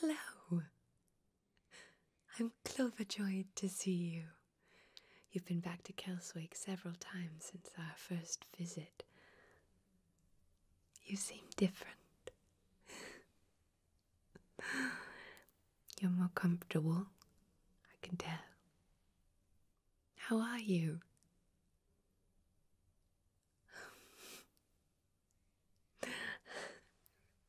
Hello. I'm Cloverjoyed to see you. You've been back to Kelswick several times since our first visit. You seem different. You're more comfortable, I can tell. How are you? I'm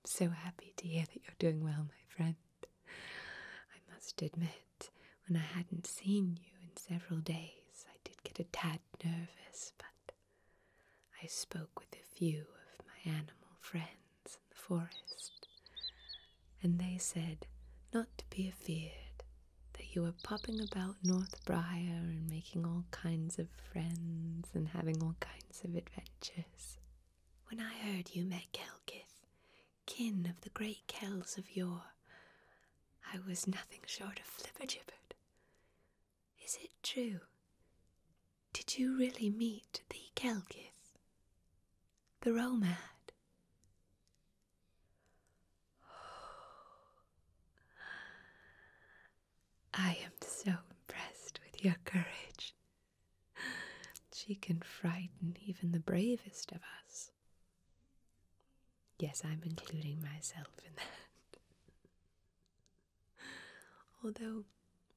so happy to hear that you're doing well, my friend. I must admit, when I hadn't seen you in several days. I did get a tad nervous, but I spoke with a few of my animal friends in the forest, and they said not to be afeard, that you were popping about North Briar and making all kinds of friends and having all kinds of adventures. When I heard you met Kelkith, kin of the great Kells of yore, I was nothing short of flippergibbet. Is it true? Did you really meet the Kelgith, the Romad? I am so impressed with your courage. She can frighten even the bravest of us. Yes, I'm including myself in that. Although,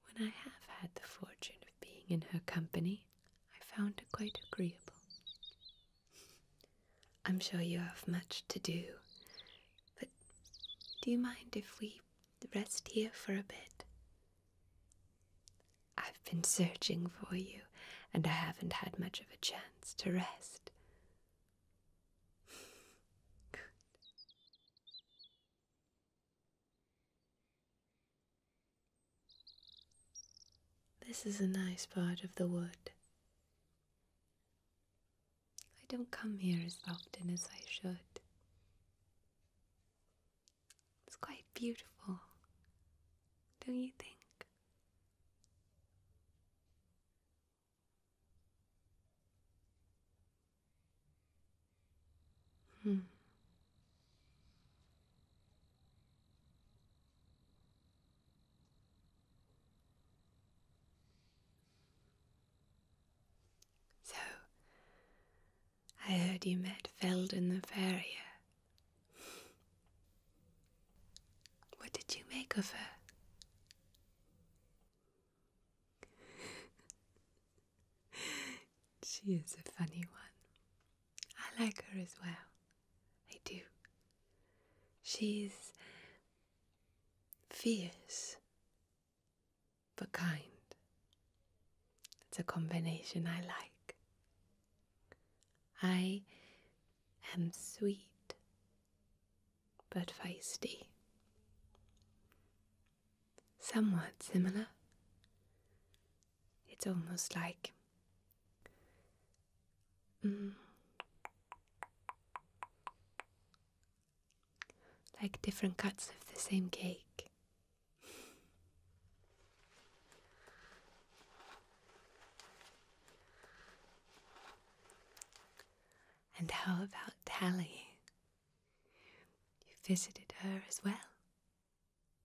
when I have had the fortune of being in her company, I found her quite agreeable. I'm sure you have much to do, but do you mind if we rest here for a bit? I've been searching for you and I haven't had much of a chance to rest. This is a nice part of the wood. I don't come here as often as I should. It's quite beautiful, don't you think? Hmm. So, I heard you met Feldon the farrier what did you make of her? she is a funny one. I like her as well. I do. She's fierce but kind. It's a combination I like. I and sweet, but feisty. Somewhat similar. It's almost like. Mm, like different cuts of the same cake. And how about Tally? You visited her as well?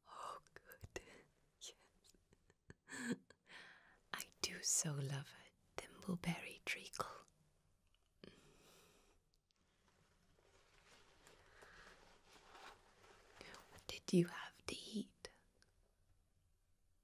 Oh, good. yes. I do so love a thimbleberry treacle. What did you have to eat?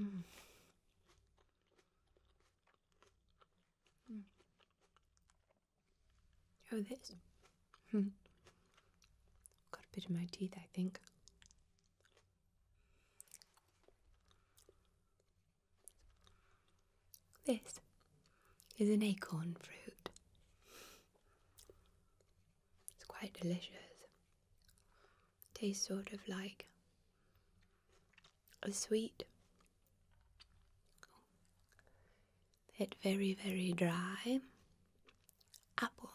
Mm. Oh, this. Hmm. Got a bit in my teeth, I think. This is an acorn fruit. It's quite delicious. Tastes sort of like a sweet, yet very, very dry apple.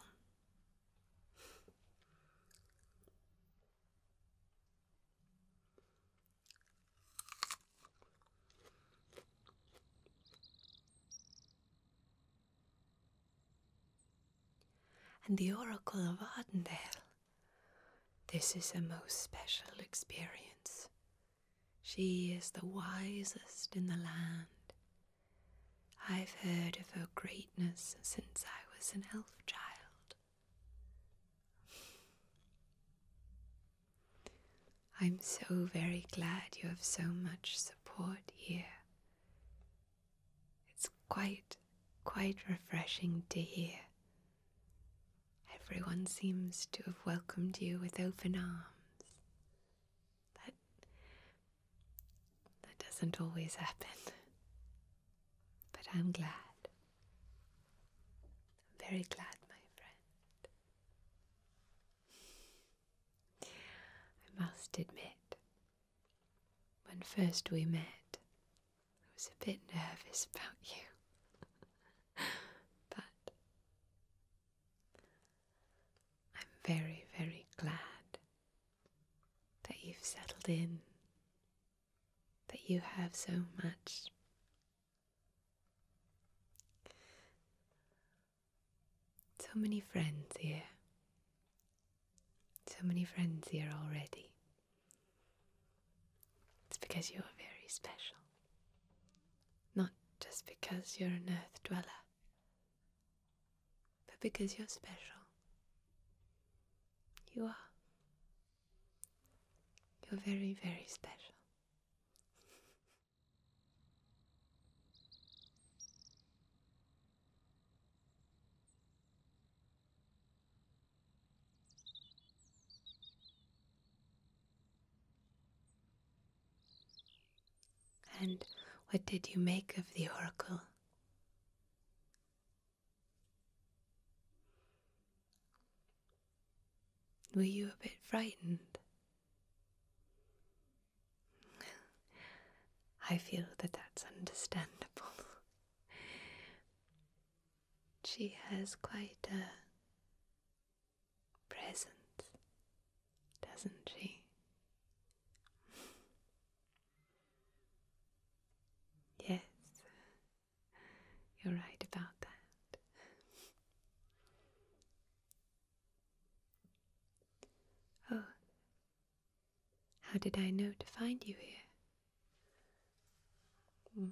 And the Oracle of Ardendale. This is a most special experience. She is the wisest in the land. I've heard of her greatness since I was an elf child. I'm so very glad you have so much support here. It's quite, quite refreshing to hear. Everyone seems to have welcomed you with open arms. That, that doesn't always happen. But I'm glad. I'm very glad, my friend. I must admit, when first we met, I was a bit nervous about you. but I'm very, very glad that you've settled in, that you have so much. So many friends here. So many friends here already. It's because you are very special. Not just because you're an earth dweller, but because you're special. You are. You're very, very special. And what did you make of the oracle? Were you a bit frightened? I feel that that's understandable. she has quite a presence, doesn't she? yes, you're right about that. oh, how did I know to find you here? Hmm.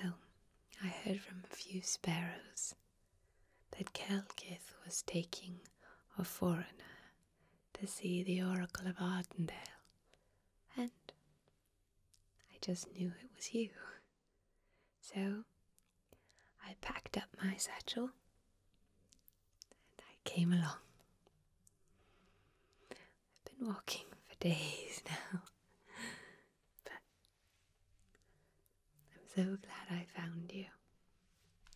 Well, I heard from a few sparrows that Kelkith was taking a foreigner to see the Oracle of Ardendale, and I just knew it was you. So I packed up my satchel and I came along. I've been walking for days now, but I'm so glad I found you.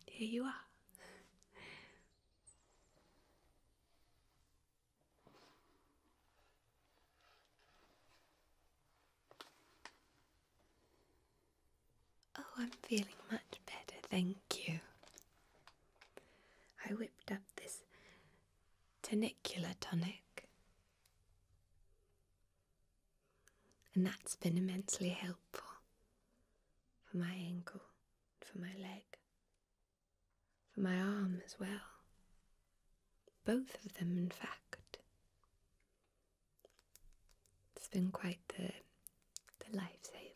Here you are. Oh, I'm feeling much better, thank you. I whipped up this Tanicular tonic. And that's been immensely helpful for my ankle, for my leg, for my arm as well. Both of them, in fact. It's been quite the the lifesaver.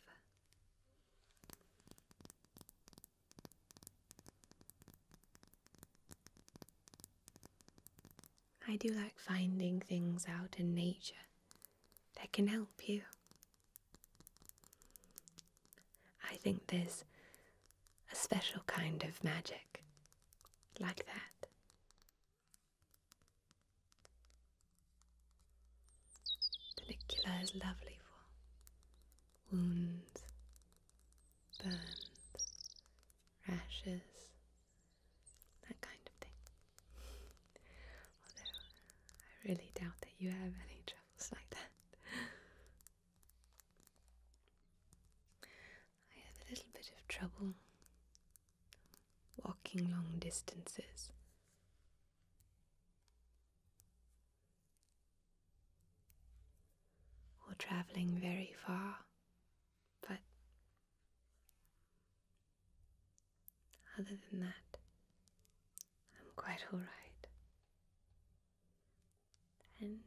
I do like finding things out in nature that can help you. I think there's a special kind of magic like that Panicula is lovely for wounds, burns, rashes, that kind of thing. Although I really doubt that you have any troubles like that. I have a little bit of trouble walking long distances. Or traveling very far, but other than that, I'm quite alright. And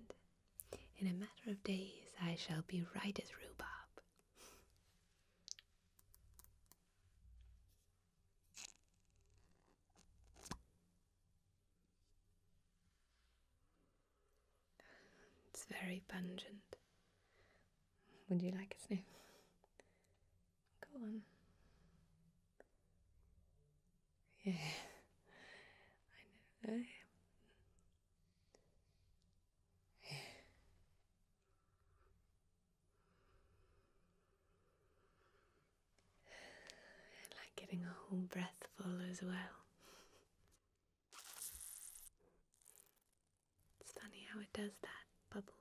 in a matter of days, I shall be right as rhubarb it's very pungent. Would you like a sniff? Go on. Yeah, I know. I like getting a whole breath full as well. It's funny how it does that, bubbles.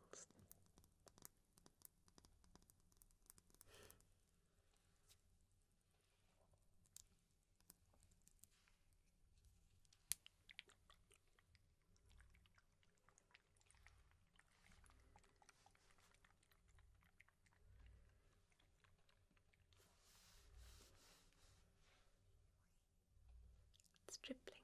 It's dribbling.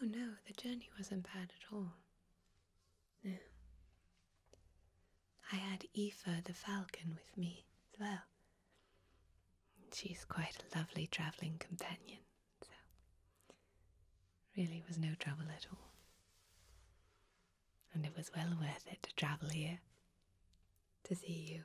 Oh no, the journey wasn't bad at all. No. I had Aoife the falcon with me as well. She's quite a lovely travelling companion, so really was no trouble at all. And it was well worth it to travel here to see you.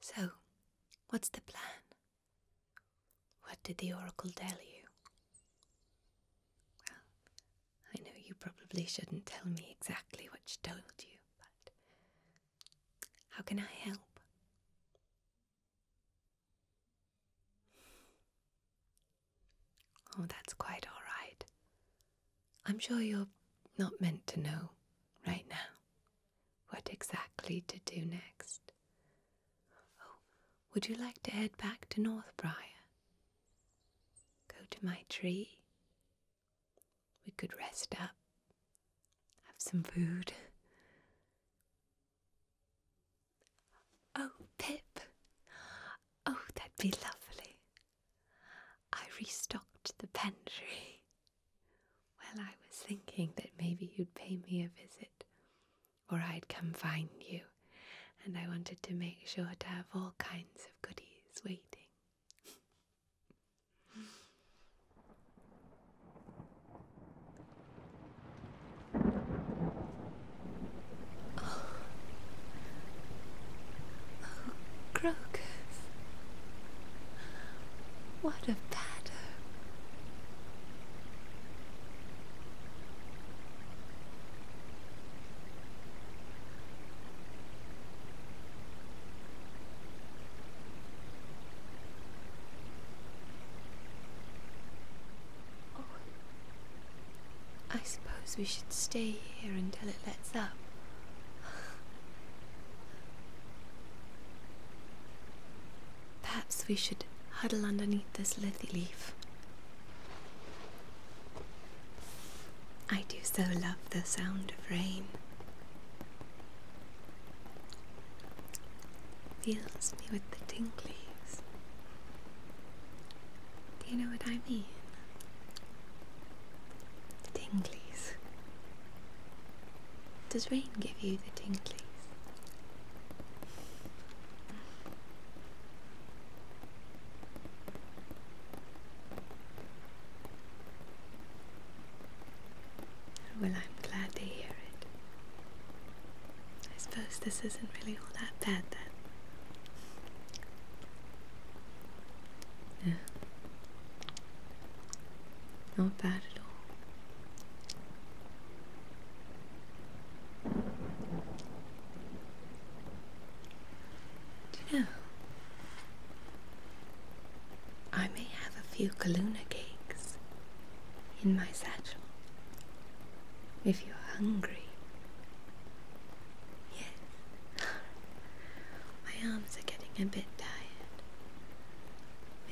So, what's the plan? What did the oracle tell you? Well, I know you probably shouldn't tell me exactly what she told you, but how can I help? Oh, that's quite all right. I'm sure you're not meant to know right now what exactly to do next. Oh, would you like to head back to North Brier? Go to my tree? We could rest up, have some food. Oh, Pip! Oh, that'd be lovely. I restocked the pantry. Well, I was thinking that maybe you'd pay me a visit, or I'd come find you, and I wanted to make sure to have all kinds of goodies waiting. Oh. Crocus. What a patter. Oh. I suppose we should stay here until it lets up. Perhaps we should huddle underneath this lithy leaf. I do so love the sound of rain. Fills me with the tinglies. Do you know what I mean? Tinglies. Does rain give you the tinglies? Well, I'm glad to hear it. I suppose this isn't really all that bad then. Yeah. Not bad at all. Do you know? I may have a few Kaluna cakes in my satchel if you're hungry. Yes. My arms are getting a bit tired.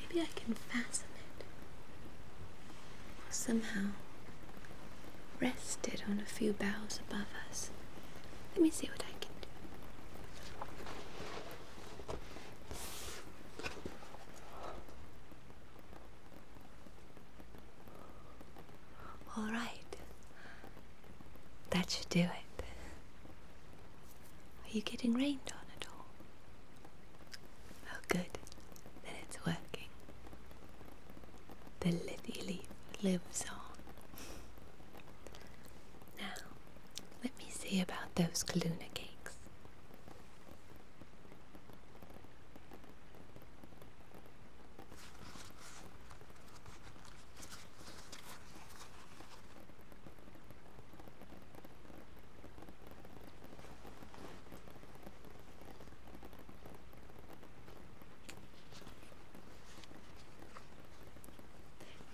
Maybe I can fasten it. Or somehow rest it on a few boughs above us. Let me see what I can do. All right, that should do it. Are you getting rained on at all? Oh, good. Then it's working. The lily leaf lives on. Now, let me see about those Kaluna cakes.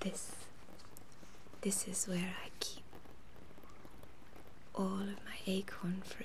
This, this is where I keep all of my acorn fruit.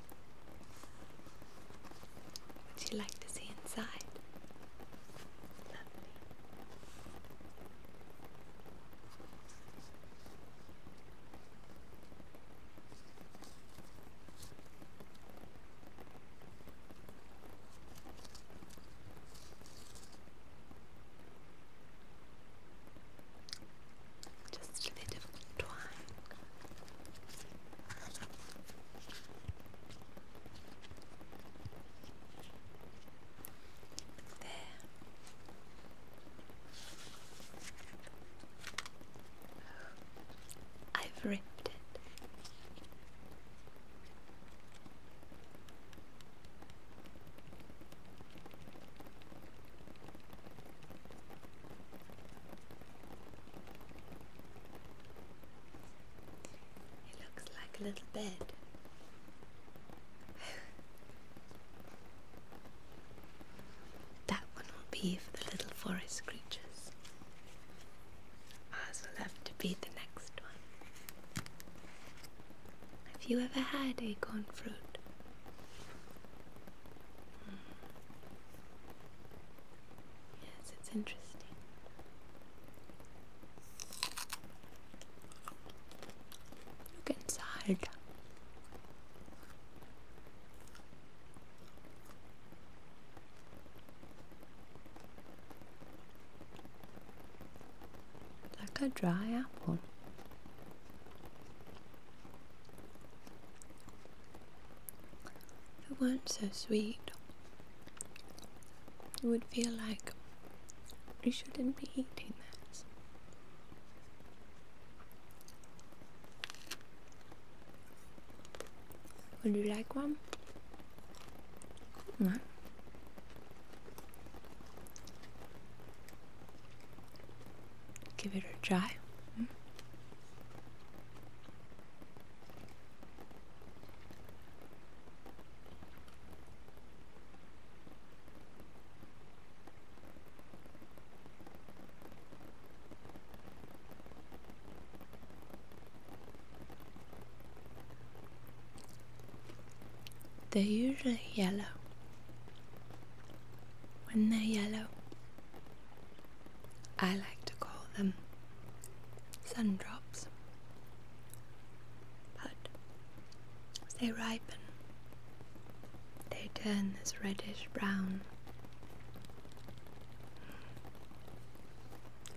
Would you like to see inside? Just a bit twine I've ripped it. It looks like a little bed. that one will be for the little forest creatures. Ours will have to be the next one. Have you ever had acorn fruit? Hmm. Yes, it's interesting. Look inside. Like a dry apple. If It weren't so sweet. it would feel like you shouldn't be eating that. Would you like one? Give it a try. Hmm? They're usually yellow. When they're yellow, I like to call them sun drops, but as they ripen, they turn this reddish brown.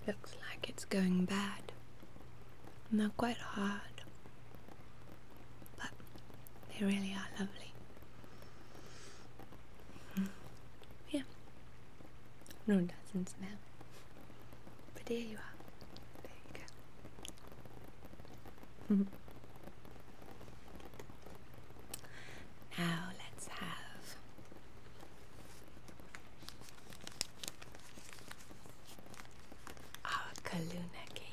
Looks like it's going bad. Not quite hard, but they really are lovely. Hmm. Yeah. No, it doesn't smell. But here you are. There you go. now let's have our Kaluna cakes.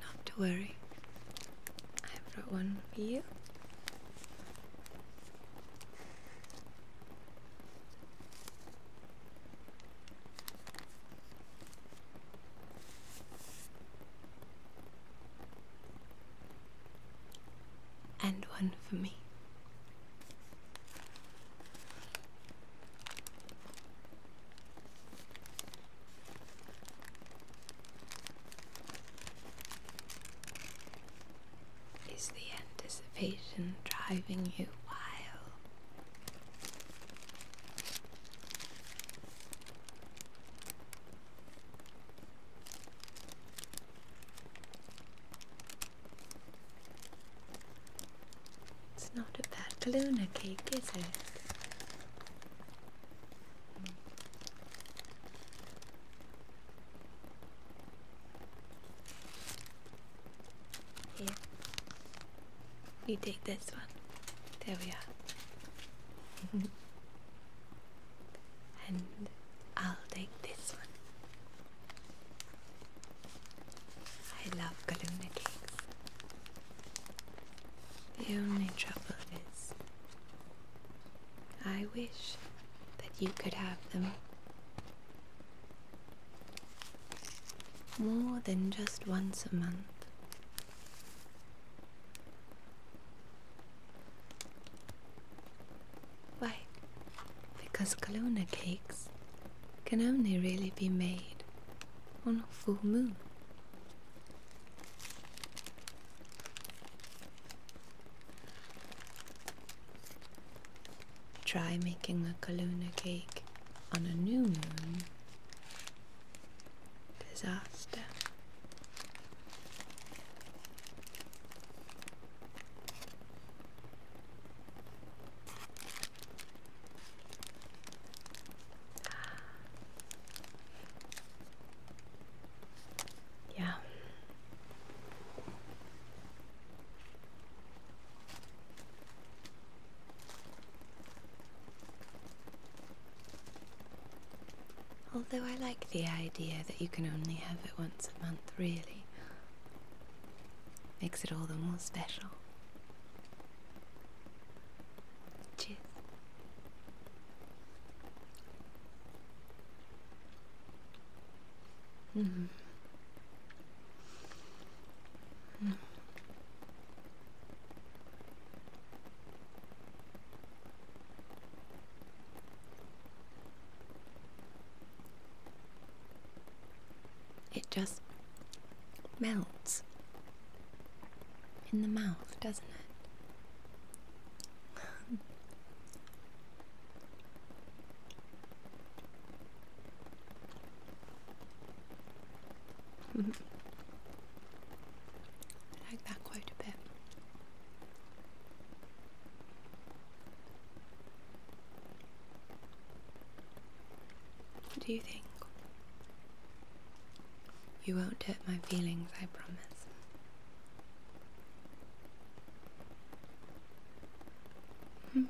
Not to worry. I have brought one for you. And one for me. Is the anticipation driving you wild? It's not a bad Luna cake, is it? Here. You take this one. There we are. and I'll take this one. I love Galuna cakes. The only trouble is I wish that you could have them. More than just once a month. Why? Because Kelowna cakes can only really be made on a full moon. Try making a Kaluna cake on a new moon. Disaster. Yeah. Although I like the idea that you can only have it once a month, really. Makes it all the more special. Cheers. Mm -hmm. It just melts in the mouth, doesn't it? I like that quite a bit. do you think? You won't hurt my feelings, I promise. Hmm.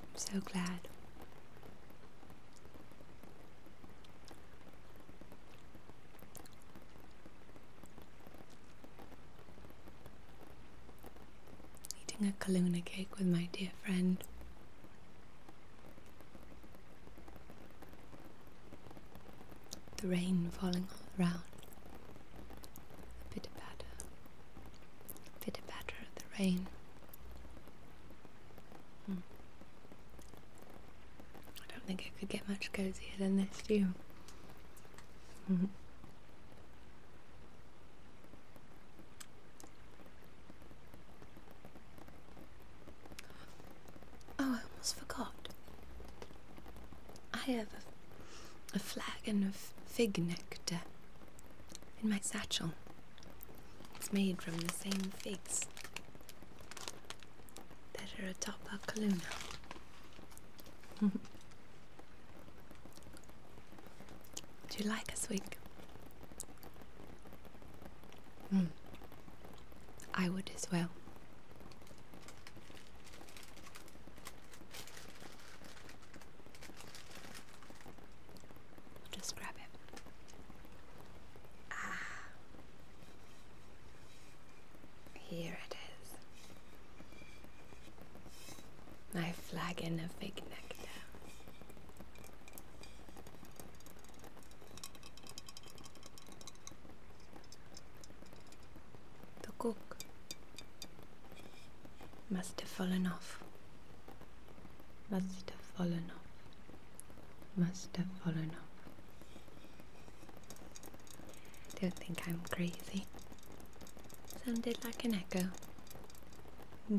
I'm so glad. Eating a Kaluna cake with my dear friend. The rain falling all around. Pitter patter. Pitter bit of the rain. Hmm. I don't think it could get much cozier than this, do Oh, I almost forgot. I have a, a flagon of fig nectar in my satchel. It's made from the same figs that are atop our Kaluna. Would you like a swig? Hmm. I would as well. just grab it. Ah. Here it is. My flagon of fig the cook must have fallen off. Must have fallen off. Must have fallen off. Don't think I'm crazy. Sounded like an echo. Hmm.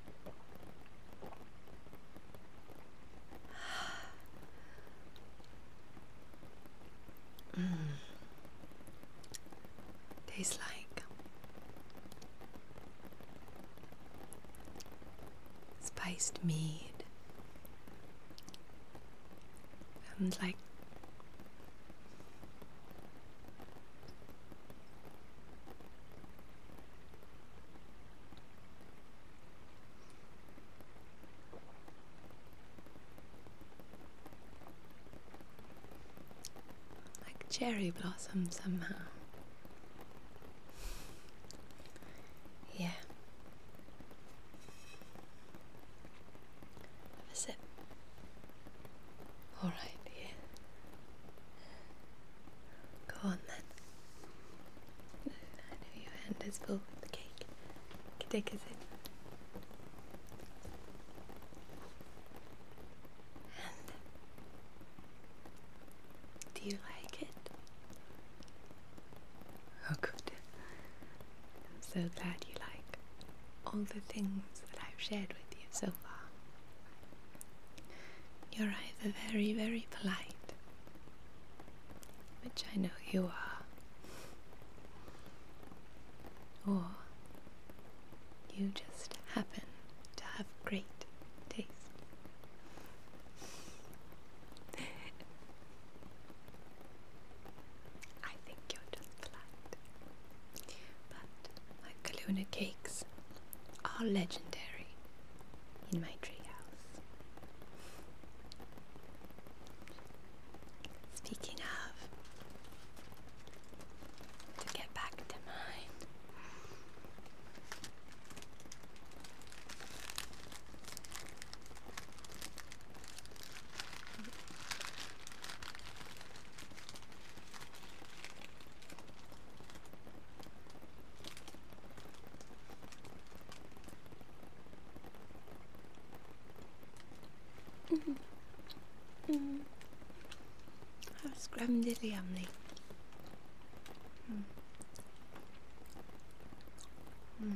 mm. Tastes like spiced mead and like like cherry blossom somehow. Yeah. Have All right, yeah. Go on then. I know your hand is full with the cake. You can take a sip. do you like it? Oh, good. I'm so glad you like all the things that I've shared with you so far. You're either very, very polite, which I know you are, or you just happen to have great taste. I think you're just polite. But my Kelowna cakes are legendary in my treehouse. Speaking of, to get back to mine. Mm. Mm. How scramdilly amly. Mm. Mm.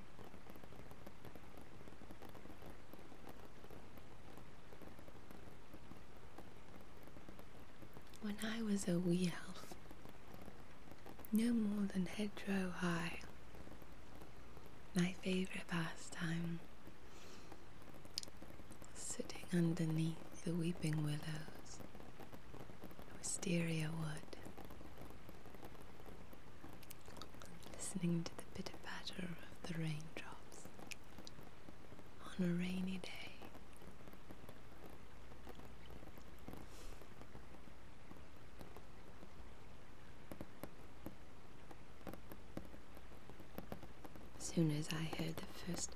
When I was a wee elf, no more than hedgerow high, my favourite pastime, sitting underneath the weeping willows, wisteria wood, listening to the pitter patter of the raindrops on a rainy day. As soon as I heard the first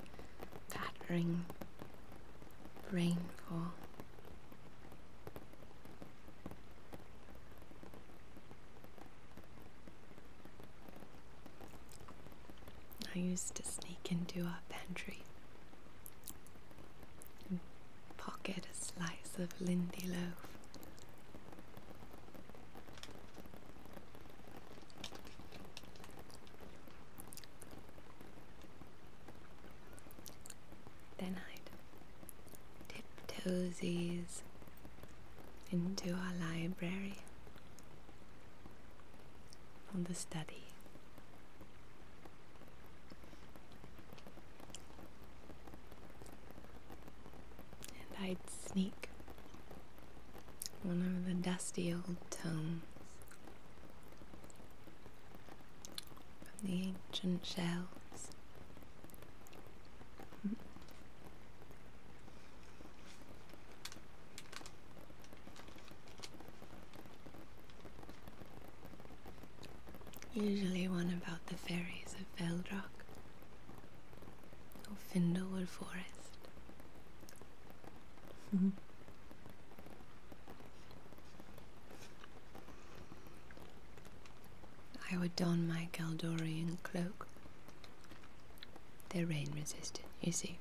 pattering rainfall, I used to sneak into our pantry pocket a slice of lindy loaf. Then i tiptoesies into our library for the study. And I'd sneak one of the dusty old tomes from the ancient shelves Usually one about the fairies of Veldrock or Findlewood Forest. I would don my Galdorian cloak. They're rain resistant, you see.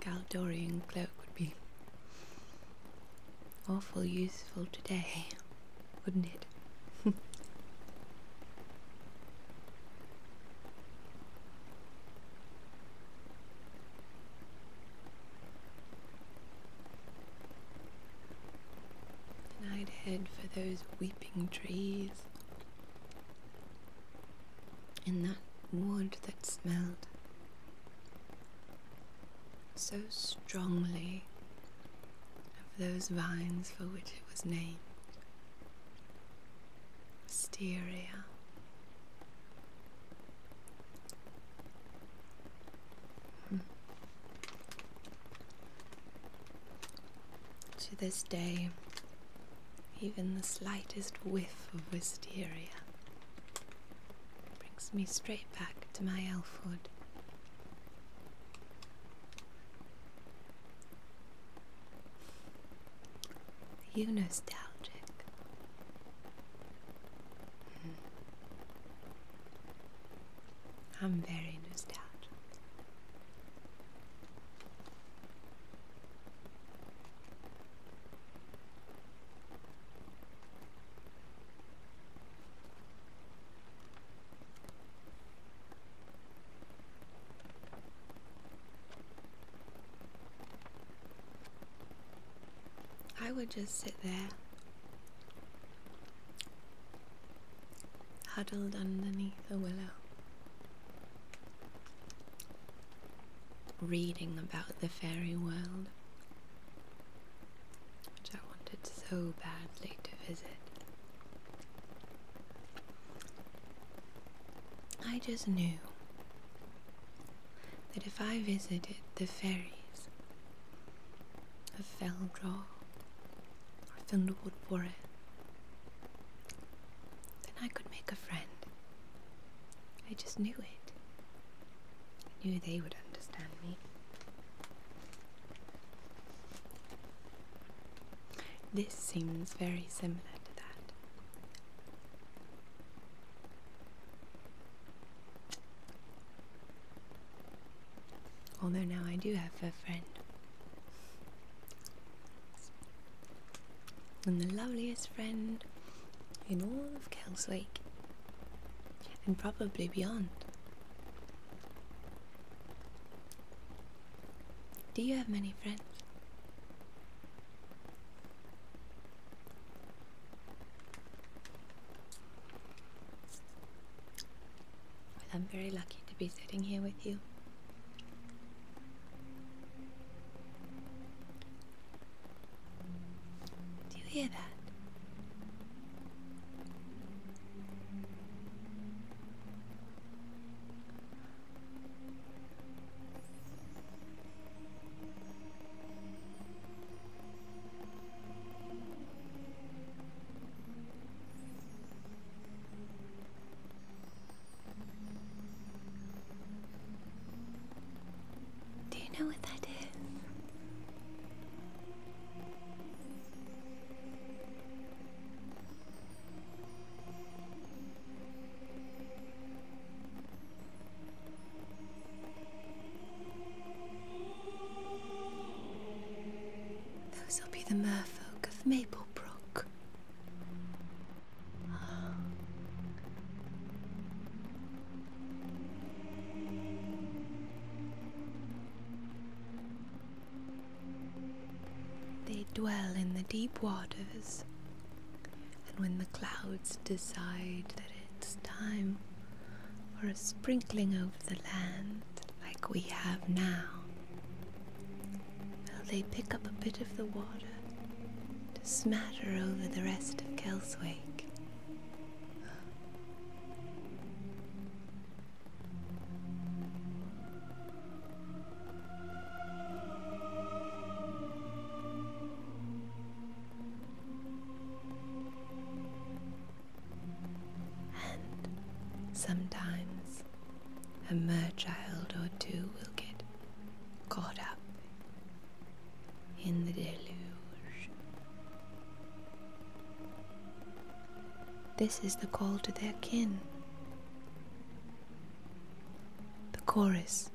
Galdorian cloak would be awful useful today, wouldn't it? And I'd head for those weeping trees and that wood that smelled so strongly of those vines for which it was named. Wisteria Hmm. To this day, even the slightest whiff of wisteria brings me straight back to my elfhood. You nostalgic. Mm-hmm. I'm very nostalgic. I would just sit there, huddled underneath a willow, reading about the fairy world, which I wanted so badly to visit. I just knew that if I visited the fairies of Feldraw or Thundlewood Warren, then I could make a friend. I just knew it. knew they would understand me. This seems very similar to that. Although now I do have a friend. And the loveliest friend in all of Kelswick. And probably beyond. Do you have many friends? I'm very lucky to be sitting here with you. Do you hear that? Do you know what that is? Those will be the merfolk of Maplebrook. They dwell in the deep waters, and when the clouds decide that it's time for a sprinkling over the land like we have now. Well, they pick up a bit of the water to smatter over the rest of Kelswake. And sometimes a mer child or two will get caught up in the deluge. This is the call to their kin. The chorus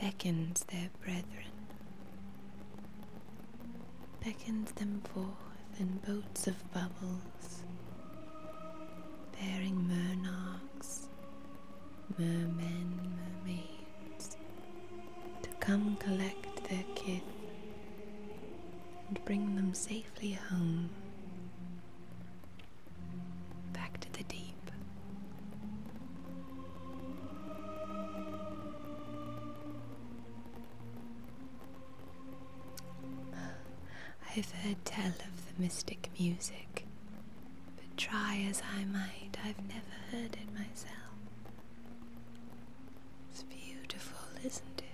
beckons their brethren, beckons them forth in boats of bubbles, bearing monarchs, mermen, mermaids, to come collect their kith and bring them safely home. Back to the deep. I've heard tell of the mystic music, but try as I might, I've never heard it myself. It's beautiful, isn't it?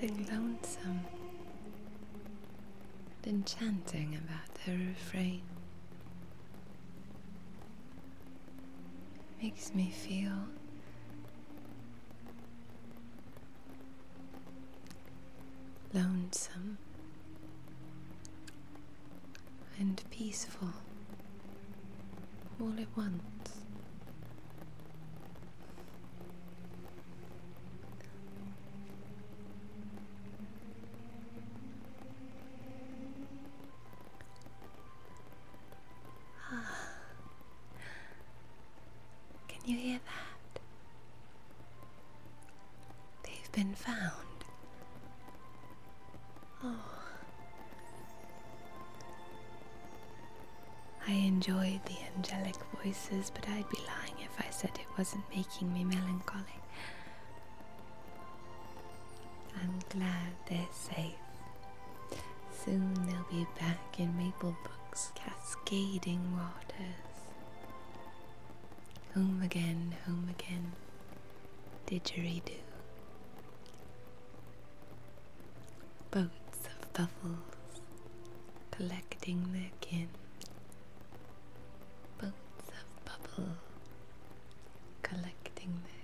Something lonesome and enchanting about the refrain Makes me feel lonesome and peaceful all at once. Can you hear that? They've been found. Oh. I enjoyed the angelic voices, but I'd be lying if I said it wasn't making me melancholy. I'm glad they're safe. Soon they'll be back in Maplebrook's cascading waters. Home again, home again, didgeridoo. Boats of bubbles collecting their kin. Boats of bubbles collecting their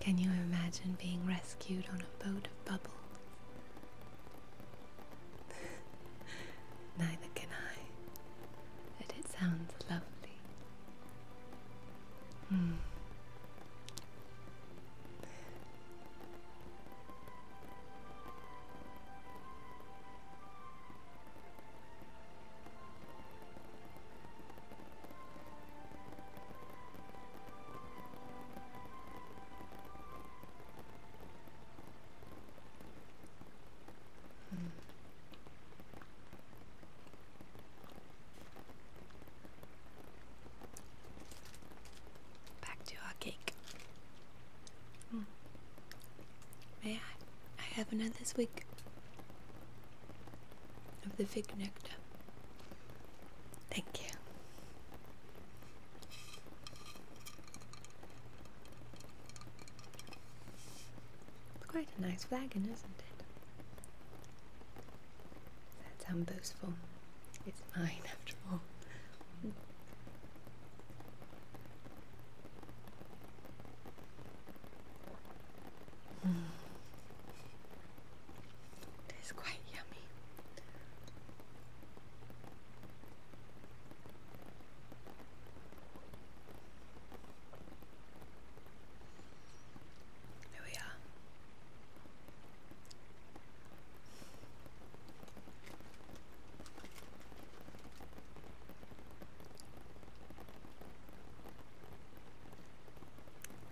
Can you imagine being rescued on a boat of bubbles? Neither can I, but it sounds lovely. Hmm. Hmm. Back to our cake. Mm. May I? I have another swig of the fig nectar. Thank you. quite a nice flagon, isn't it? That sounds boastful. It's mine after all. Mm. quite yummy. Here we are.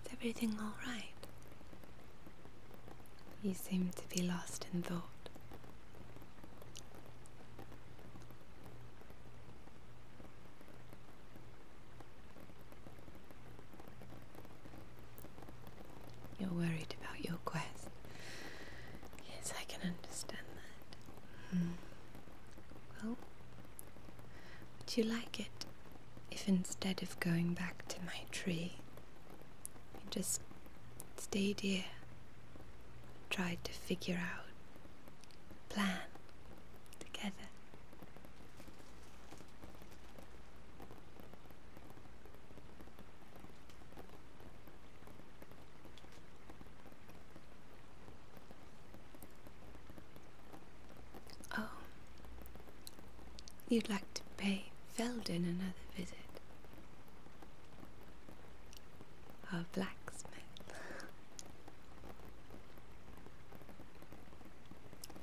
Is everything alright? You seem to be lost in thought. You're worried about your quest. Yes, I can understand that. Hmm. Well, would you like it if instead of going back to my tree, you just stayed here, tried to figure out plan together? Oh, you'd like to pay Felden another visit. A blacksmith.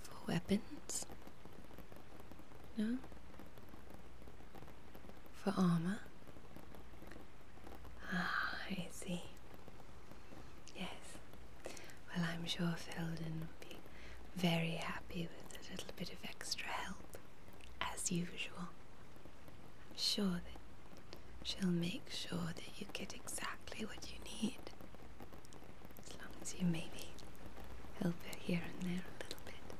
For weapons? No? For armor? Ah, I see. Yes. Well, I'm sure Felden will be very happy with a little bit of extra help, as usual. I'm sure that she'll make sure that you get exactly what you need. As long as you maybe help her here and there a little bit.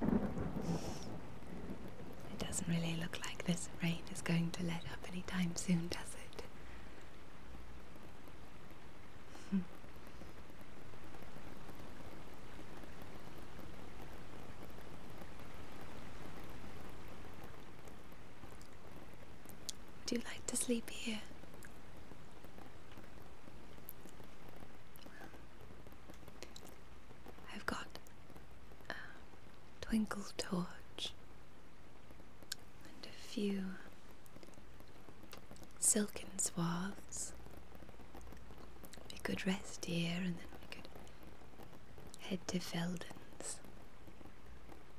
It doesn't really look like this rain is going to let up anytime soon, does it? Would you like to sleep here? I've got a uh, twinkle torch and a few silken swaths. We could rest here and then we could head to Felden's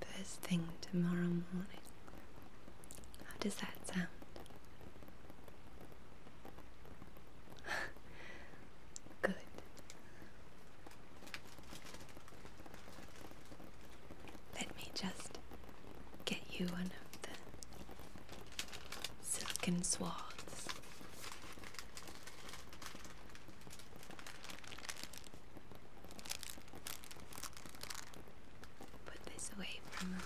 first thing tomorrow morning. How does that sound? Good. Let me just get you one of the silken swaths. Put this away from us.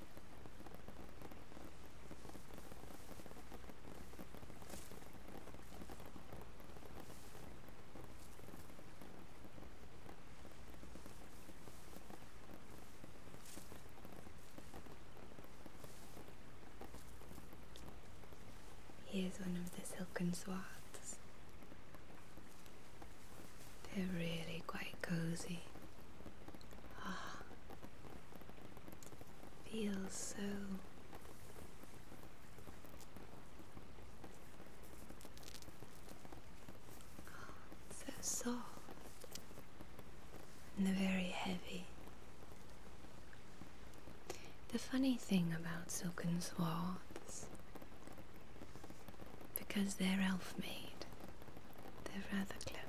Here's one of the silken swaths. They're really quite cozy. Ah, feels so oh, so soft and very heavy. The funny thing about silken swaths, because they're elf made, they're rather clever.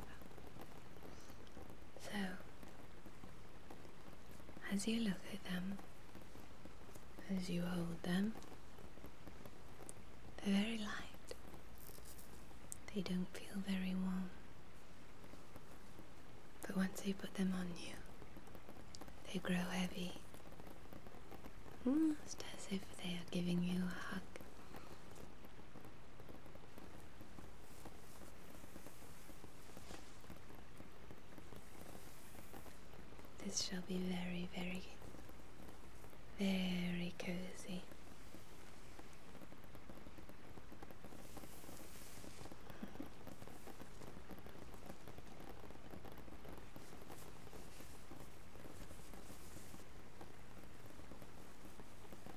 So, as you look at them, as you hold them, they're very light. They don't feel very warm. But once you put them on you, they grow heavy. Almost as if they are giving you a hug. This shall be very, very, very cozy.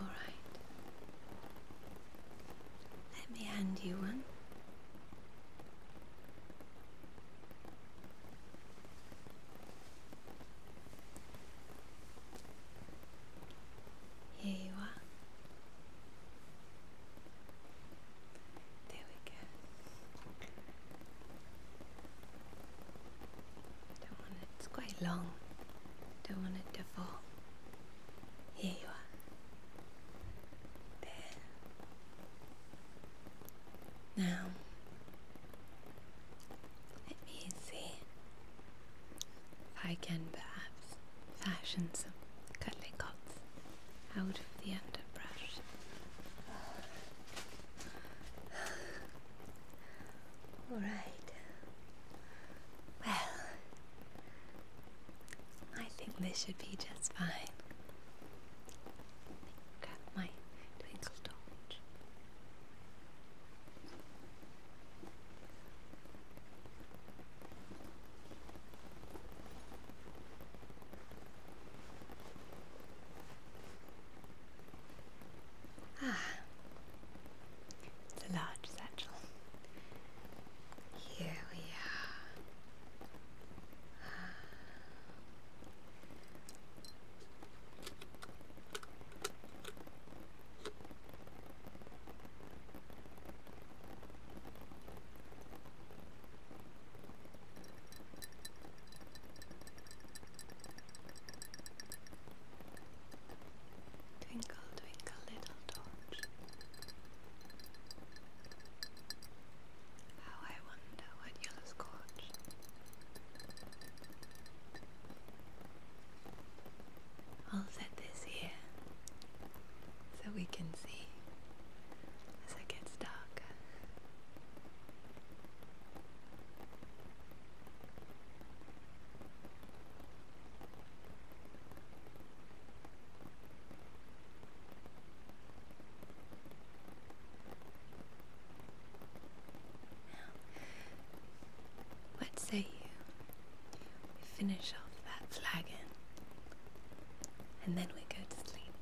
All right. Let me hand you one. Here you are. There we go. Don't want it, it's quite long. Don't want it to fall. Here you are. There. Now, let me see I can perhaps fashion some cuttlecots out of the underbrush. Alright. Well, I think this should be just fine. Grab my twinkle Ah, it's a large satchel. Here we are. Twinkle, twinkle, little torch. How I wonder what you'll scorch. I'll set this here so we can see as it gets darker. What say you? We finish off that flagon and then we go to sleep.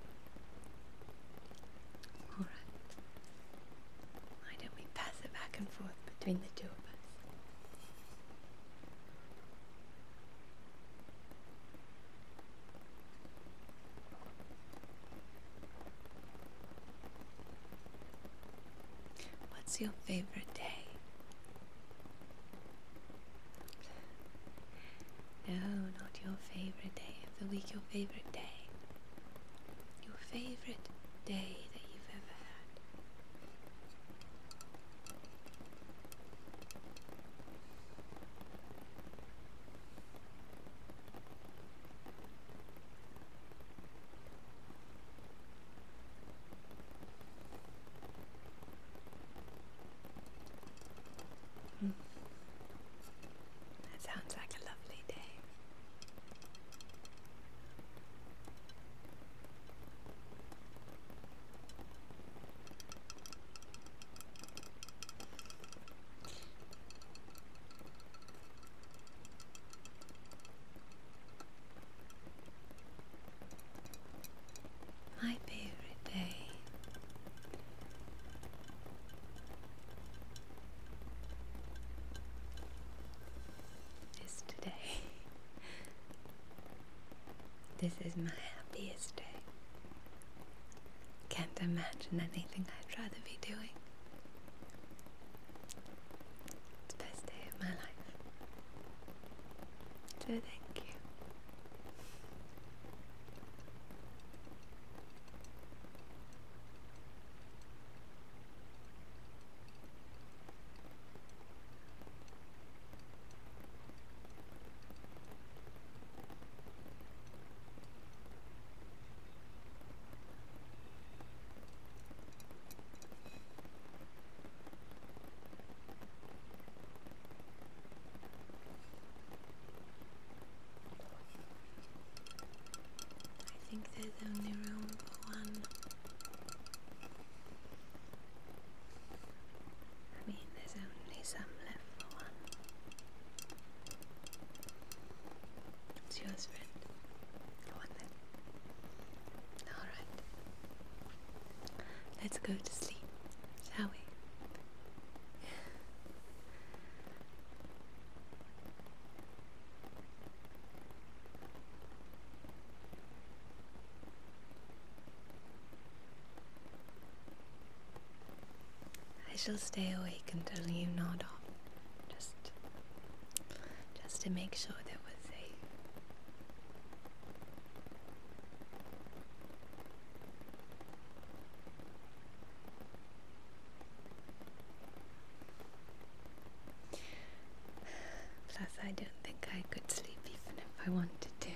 Alright. Why don't we pass it back and forth between the two of us? What's your favorite day? No, not your favorite day of the week, your favorite day. Your favorite day that you've ever had. That sounds like a lovely day. My favorite day. Is today. this is my happiest day. Can't imagine anything I'd rather be doing. It's the best day of my life. So thank you. I think there's only room for one. I mean, there's only some left for one. It's yours, friend. Go then. Alright. Let's go to sleep, shall we? I shall stay awake until you nod off. Just just to make sure that we're safe. Plus, I don't think I could sleep even if I wanted to.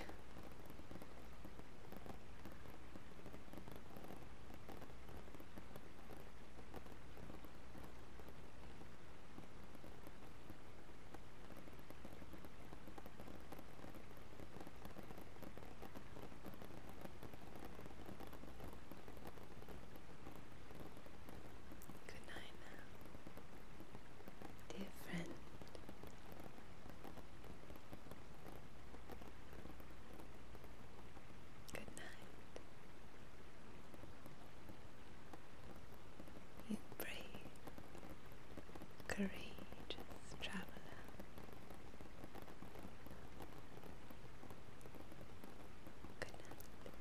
Good night dear friend. Good night. You brave, courageous traveler. Good night.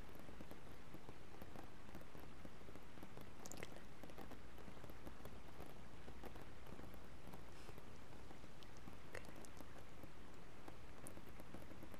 Good night. Good night.